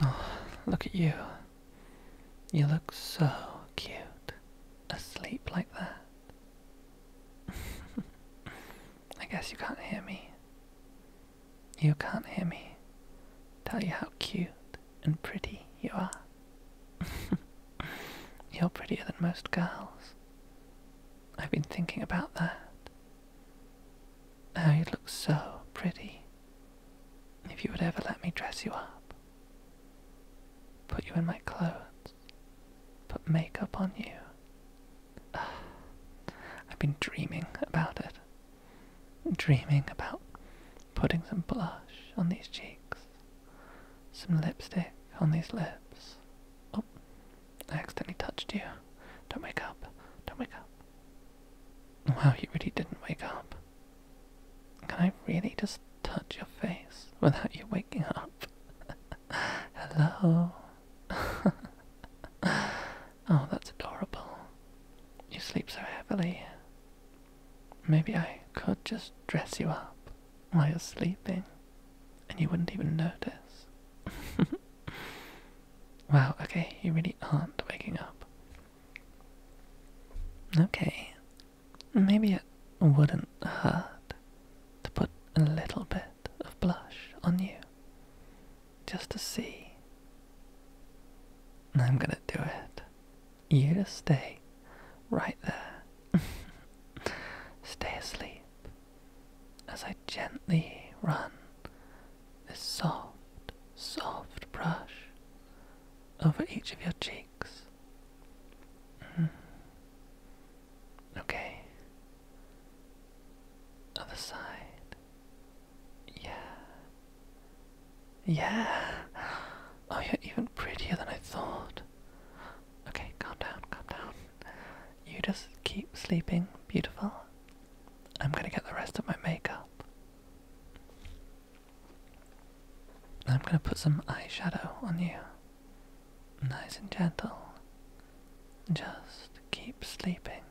Oh, look at you. You look so cute. Asleep like that. I guess you can't hear me. You can't hear me. Tell you how cute and pretty you are. You're prettier than most girls. I've been thinking about that. Oh, you look so pretty. If you would ever let me dress you up, put you in my clothes, put makeup on you. I've been dreaming about it. Dreaming about putting some blush on these cheeks, some lipstick on these lips. Oh, I accidentally touched you. Don't wake up. Don't wake up. Wow, you really didn't wake up. Can I really just touch your face without you waking up? Hello? oh, that's adorable. You sleep so heavily. Maybe I could just dress you up while you're sleeping and you wouldn't even notice. wow, okay, you really aren't waking up. Okay, maybe it wouldn't hurt to put a little bit of blush on you just to see. I'm gonna do it. You just stay right there. stay asleep as I gently run this soft, soft brush over each of your cheeks. Mm. Okay. Other side. Yeah. Yeah. Oh, you're even prettier than I thought. Okay, calm down, calm down. You just keep sleeping, beautiful. I'm gonna get the rest of my makeup. I'm gonna put some eyeshadow on you. Nice and gentle. Just keep sleeping.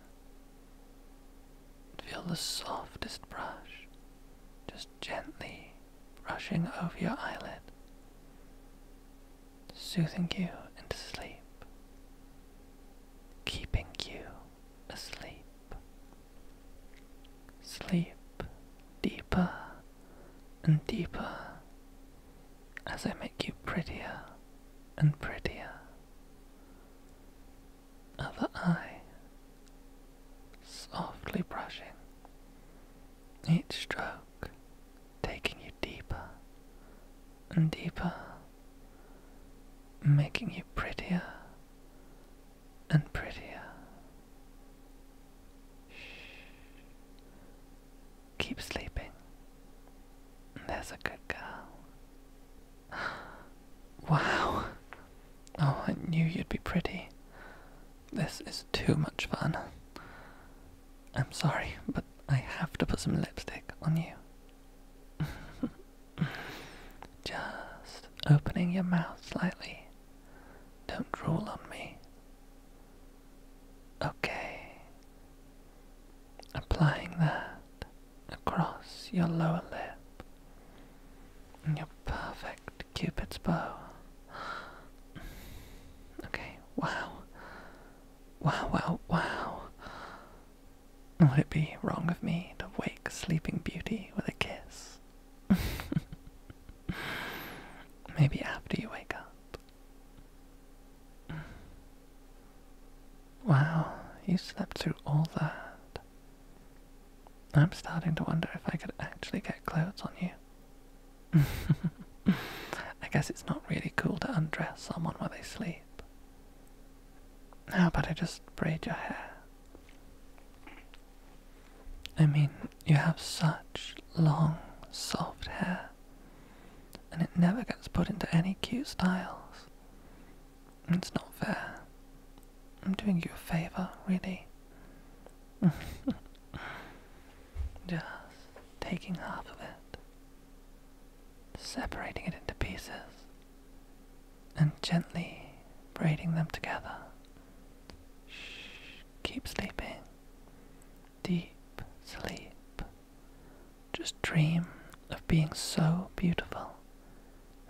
Feel the softest brush. Just gently brushing over your eyelid, soothing you into sleep, keeping you asleep. Sleep deeper and deeper as I make you prettier and prettier. Other eye softly brushing each stroke, taking you deeper and deeper, making you prettier and prettier. Shh. Keep sleeping. There's a good girl. Wow. Oh, I knew you'd be pretty. This is too much fun. I'm sorry, but I have to put some lipstick on you. Just opening your mouth slightly. Don't drool on me. Okay. Applying the across your lower lip in your perfect cupid's bow. Okay, wow. Wow, wow, wow. Would it be wrong of me to wake Sleeping Beauty with a kiss? Maybe after you wake up. Wow, you slept through all that. I'm starting to wonder if I could actually get clothes on you. I guess it's not really cool to undress someone while they sleep. How about I just braid your hair? I mean, you have such long, soft hair, and it never gets put into any cute styles. It's not fair. I'm doing you a favour, really. Just taking half of it, separating it into pieces, and gently braiding them together. Shh, keep sleeping deep sleep. Just dream of being so beautiful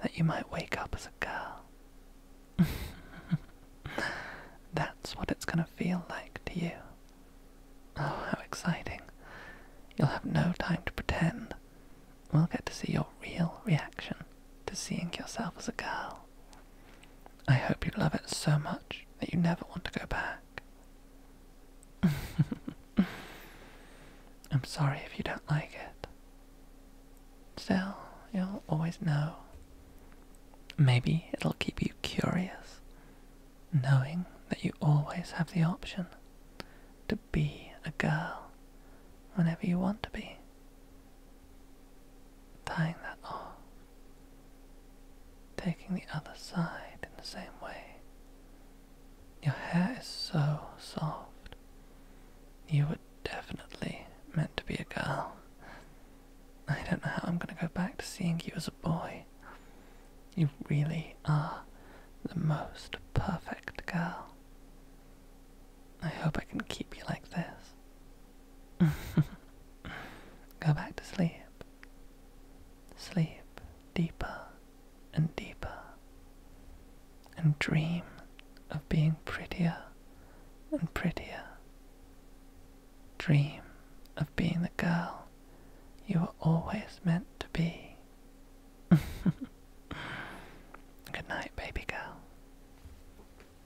that you might wake up as a girl. That's what it's gonna feel like to you. Oh, how exciting. You'll have no time to pretend. We'll get to see your real reaction to seeing yourself as a girl. I hope you love it so much that you never want to go back. I'm sorry if you don't like it. Still, you'll always know. Maybe it'll keep you curious, knowing that you always have the option to be a girl whenever you want to be. Tying that off taking the other side in the same way. Your hair is so soft. You were definitely meant to be a girl. I don't know how I'm going to go back to seeing you as a boy. You really are the most perfect girl. I hope I can keep you like this Go back to sleep. Sleep deeper and deeper. And dream of being prettier and prettier. Dream of being the girl you were always meant to be. Good night, baby girl.